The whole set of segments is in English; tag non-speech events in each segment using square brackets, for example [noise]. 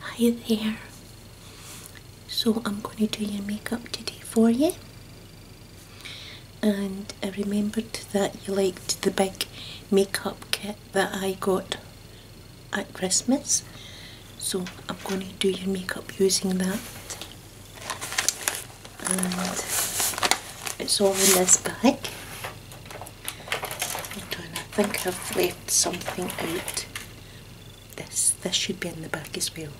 Hi there. So I'm going to do your makeup today for you. And I remembered that you liked the big makeup kit that I got at Christmas. So I'm going to do your makeup using that and it's all in this bag. Hold on, I think I've left something out. This, this should be in the bag as well.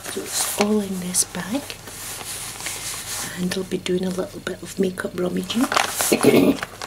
So it's all in this bag and I'll be doing a little bit of makeup rummaging. [coughs] [coughs]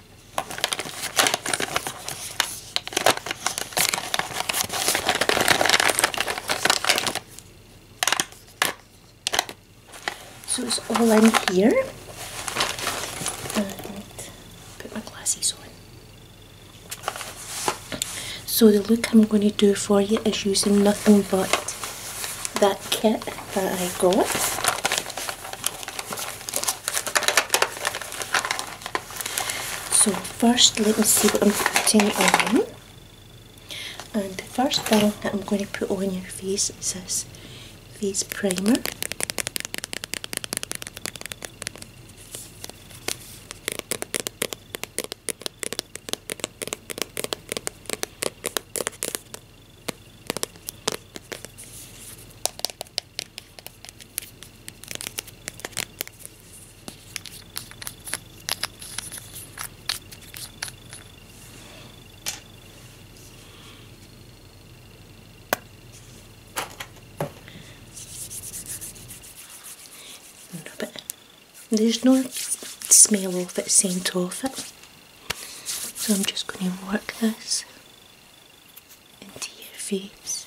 So it's all in here. put my glasses on. So the look I'm going to do for you is using nothing but that kit that I got. So first let me see what I'm putting on. And the first thing that I'm going to put on your face is this face primer. Rub it There's no smell of it, scent of it. So I'm just going to work this into your face.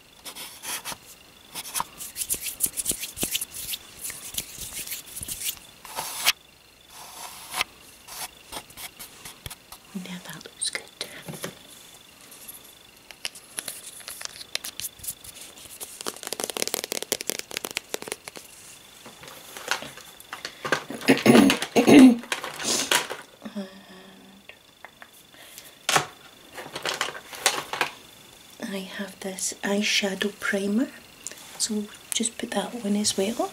Now that looks good. [coughs] and I have this eyeshadow primer, so we'll just put that one as well.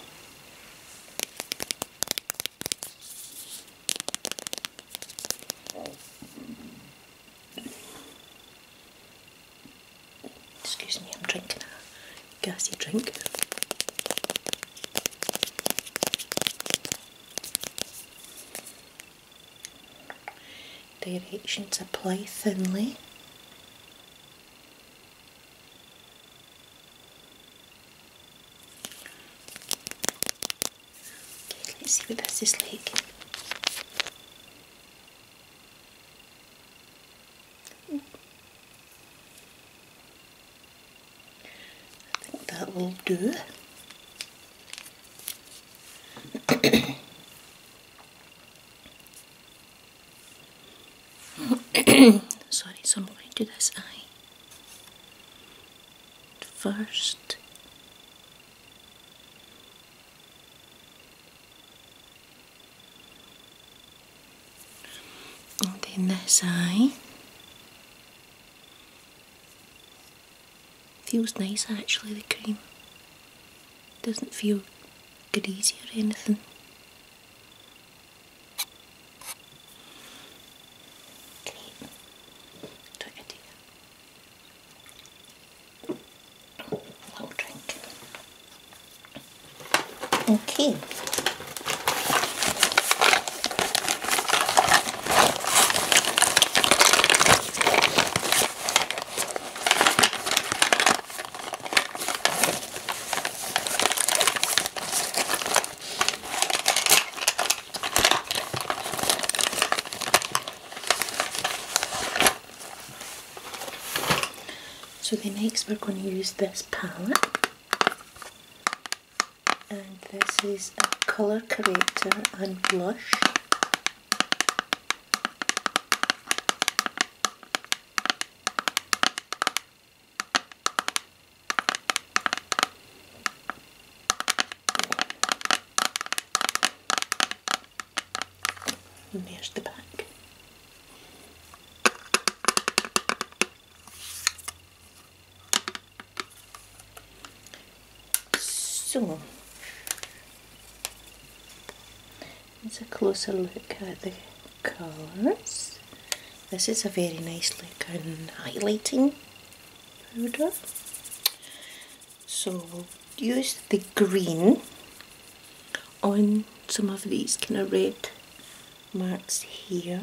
Excuse me, I'm drinking a gassy drink. Directions apply thinly. Okay, let's see what this is like. I think that will do. [coughs] Sorry, so I'm going to do this eye first. And then this eye. Feels nice actually, the cream. Doesn't feel greasy or anything. Okay. So the next we're going to use this palette and this is a color corrector and blush and there's the back so, it's a closer look at the colours. This is a very nice looking highlighting powder. So we'll use the green on some of these kind of red marks here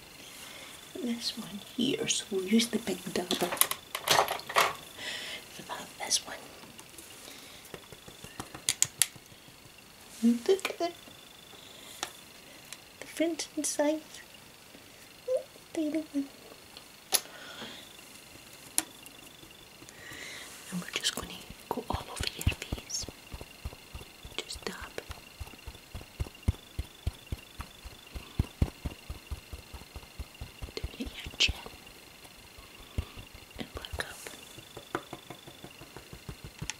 this one here, so we'll use the big double for this one. look at the, front print inside. And we're just going to go all over your face. Just dab. Then hit your chin and back up. Like this. Now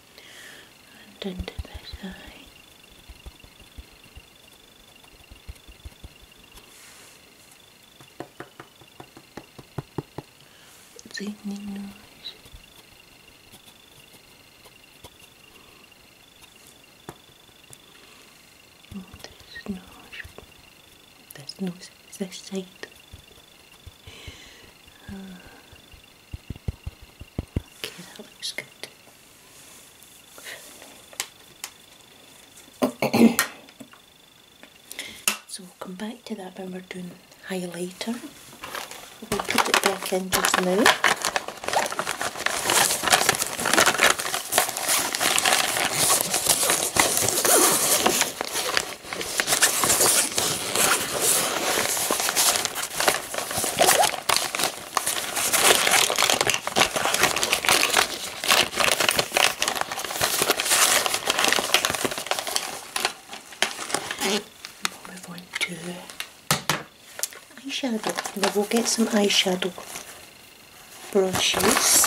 and under that eye. Singing noise. Oh, there's no, there's no, there's a sight. Ah. Okay, that looks good. [coughs] so we'll come back to that when we're doing highlighter. We'll put it back in just now. We'll move to eyeshadow. we'll get some eyeshadow brushes.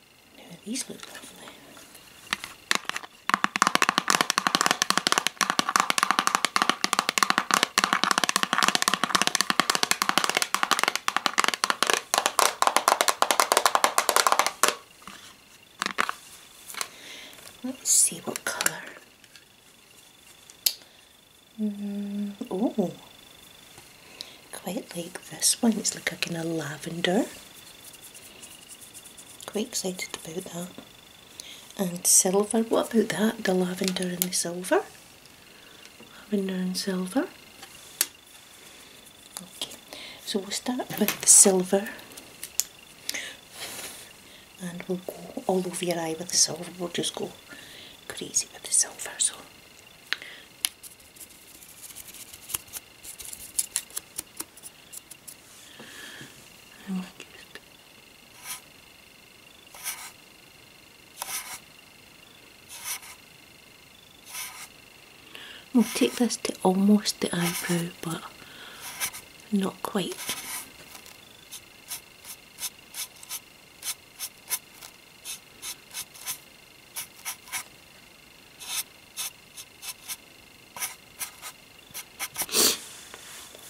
these look lovely. Let's see what colour. Mm, oh, quite like this one. It's like a kind of lavender. Quite excited about that. And silver, what about that? The lavender and the silver. Lavender and silver. Okay, so we'll start with the silver and we'll go all over your eye with the silver. We'll just go crazy with the silver. So We'll take this to almost the eyebrow, but not quite.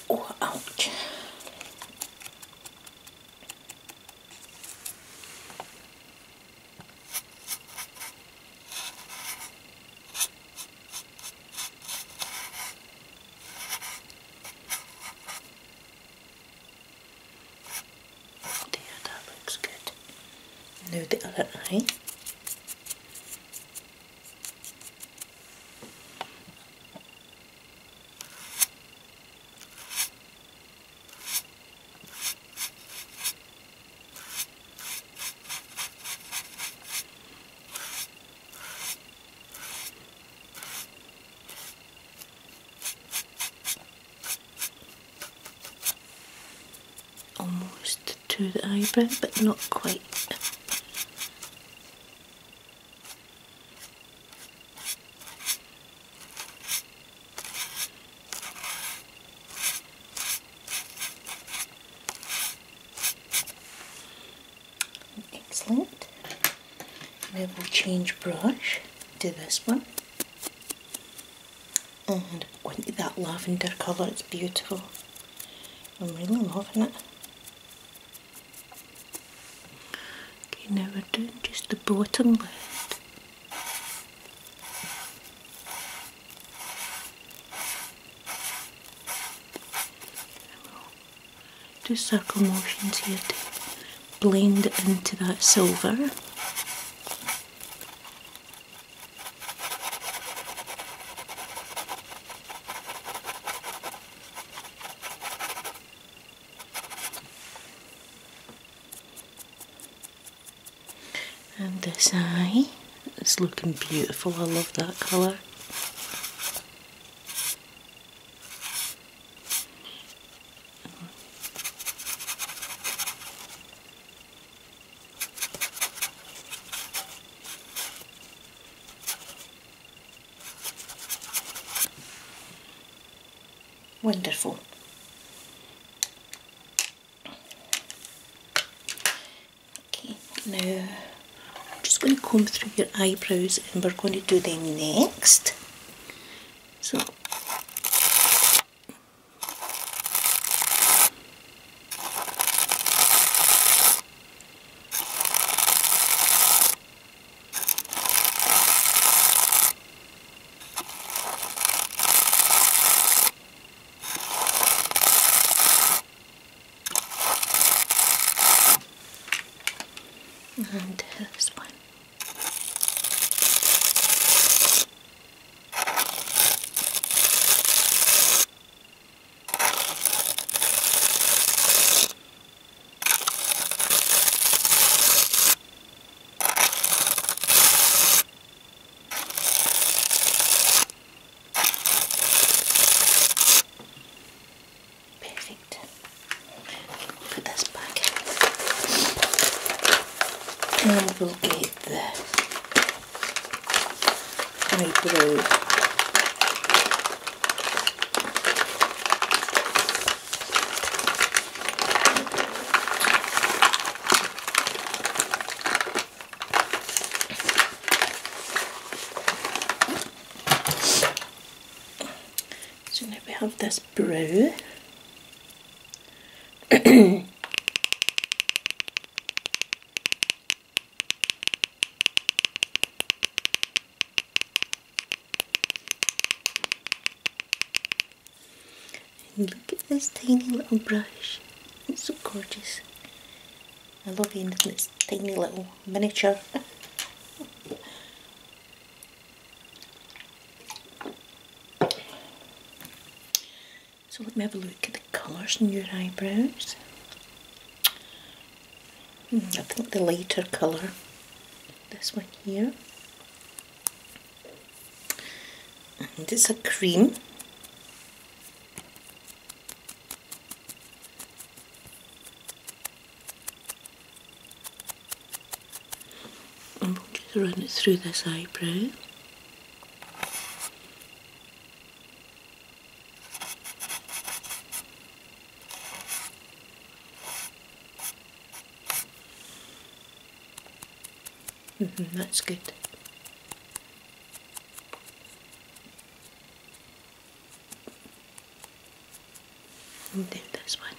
Oh, ouch. There, that looks good. Now the other eye almost to the eyebrow but not quite. Excellent. We will change brush to this one and go into that lavender colour, it's beautiful. I'm really loving it. Okay, now we're doing just the bottom lid. Do circle motions here to blend into that silver. And this eye, it's looking beautiful, I love that colour. Wonderful. Okay, now I'm just going to comb through your eyebrows and we're going to do them next. So and this one. Perfect. Put this back in. And we'll get so now we have this brew. [clears throat] look at this tiny little brush. It's so gorgeous. I love it its tiny little miniature. [laughs] So let me have a look at the colours in your eyebrows. Hmm, I think the lighter colour, this one here. And is a cream and we'll just run it through this eyebrow. Mm that's good. do this one.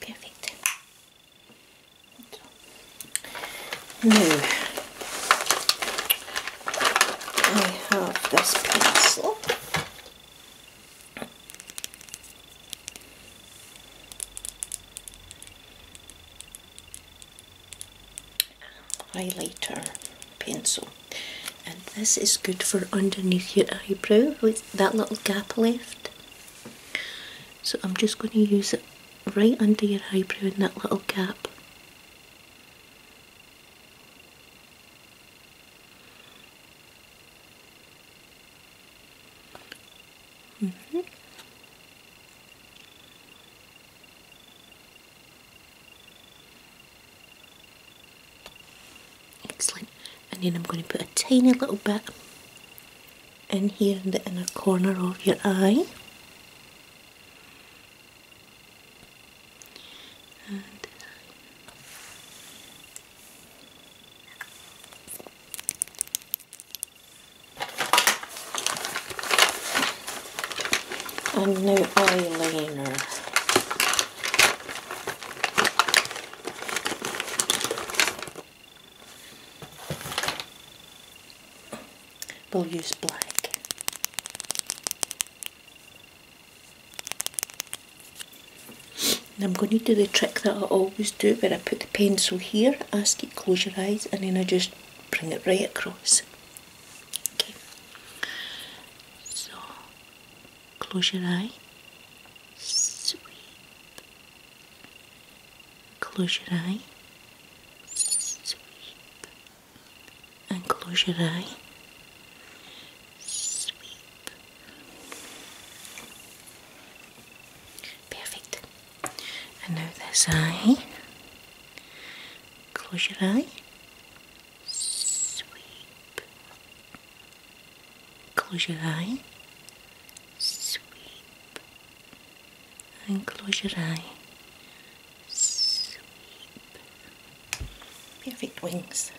Perfect. Now, I have this pencil highlighter pencil and this is good for underneath your eyebrow with that little gap left so I'm just going to use it right under your eyebrow in that little gap mm-hmm. Excellent. And then I'm going to put a tiny little bit in here in the inner corner of your eye a new eyeliner. We'll use black. I'm going to do the trick that I always do where I put the pencil here, ask it close your eyes and then I just bring it right across. Okay. So close your eye. Sweep. Close your eye. Sweep. And close your eye. Sweep. Perfect. And now this eye. Close your eye. Sweep. Close your eye. Sweep. And close your eye. Sweep. Perfect wings.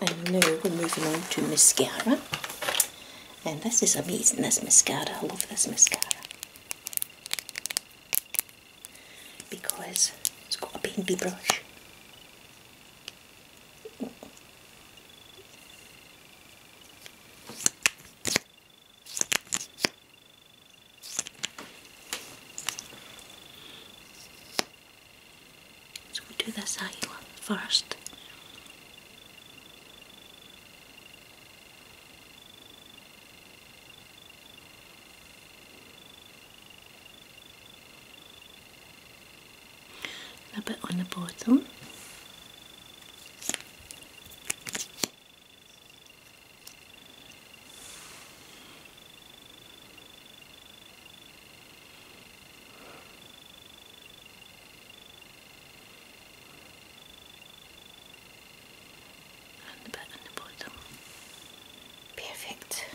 And now we're moving on to mascara. And this is amazing, this mascara. I love this mascara. Because it's got a baby brush. So we do this island first. A bit on the bottom. Perfect.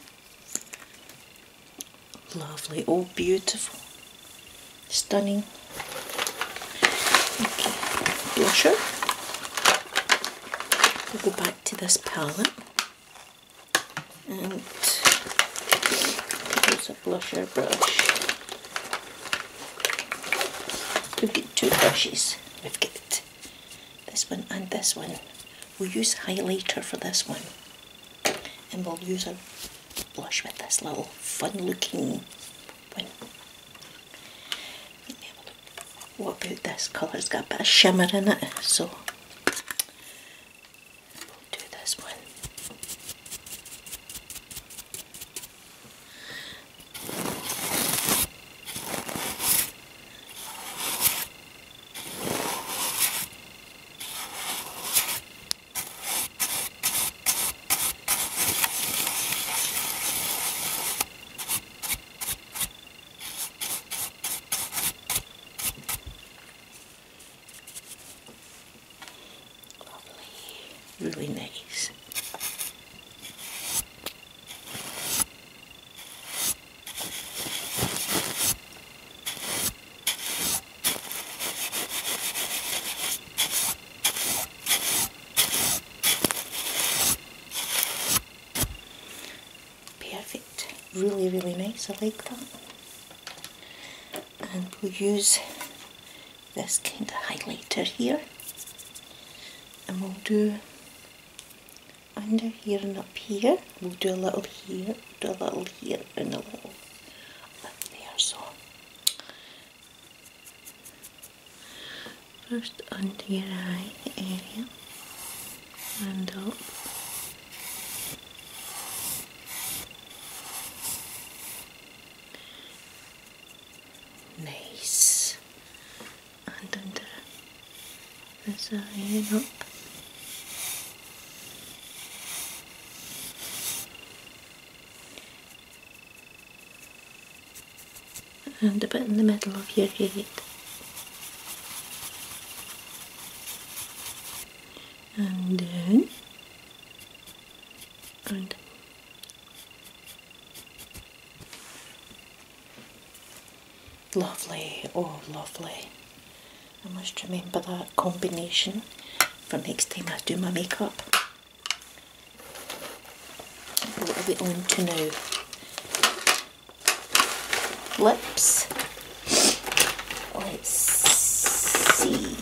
Lovely, oh beautiful, stunning. blusher. We'll go back to this palette and use a blusher brush. We've got two brushes. We've got this one and this one. We'll use highlighter for this one and we'll use a blush with this little fun looking one. What about this colour's got a bit of shimmer in it, so We'll do this one. Lovely. Really nice. Perfect really really nice I like that and we'll use this kind of highlighter here and we'll do under here and up here we'll do a little here do a little here and a little there so first under your eye area and up. Nice. And under the side up. And a bit in the middle of your head and then and lovely oh lovely I must remember that combination for next time I do my makeup A little bit on to now lips Let's see.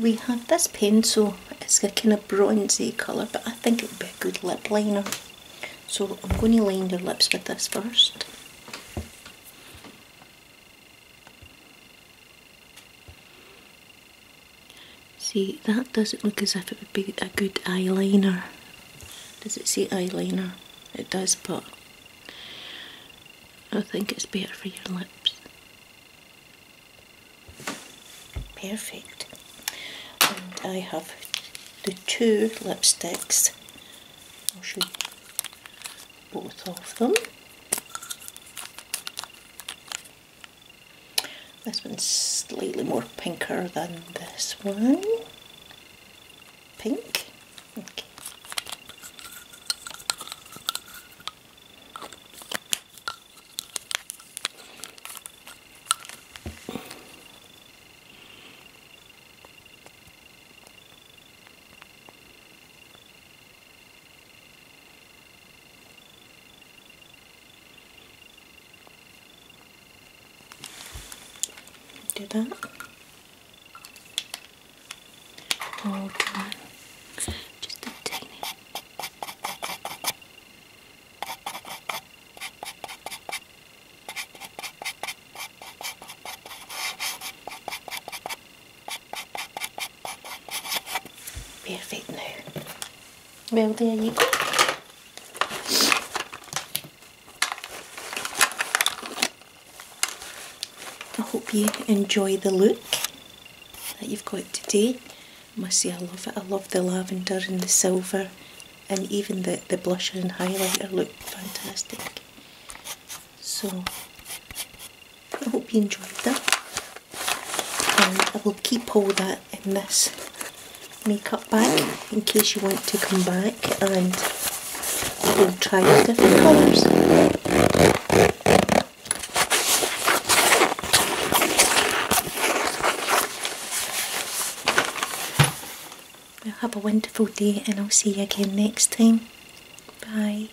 We have this pencil. It's a kind of bronzy colour, but I think it would be a good lip liner. So I'm going to line your lips with this first. See, that doesn't look as if it would be a good eyeliner. Does it say eyeliner? It does, but I think it's better for your lips. Perfect. And I have the two lipsticks. I'll show you both of them. This one's slightly more pinker than this one. Pink. Okay do that all done just a tiny perfect now 매운탕이니까 I hope you enjoy the look that you've got today. I I love it. I love the lavender and the silver and even the, the blusher and highlighter look fantastic. So I hope you enjoyed that. Um, I will keep all that in this makeup bag in case you want to come back and try different colours. Well, have a wonderful day and I'll see you again next time. Bye.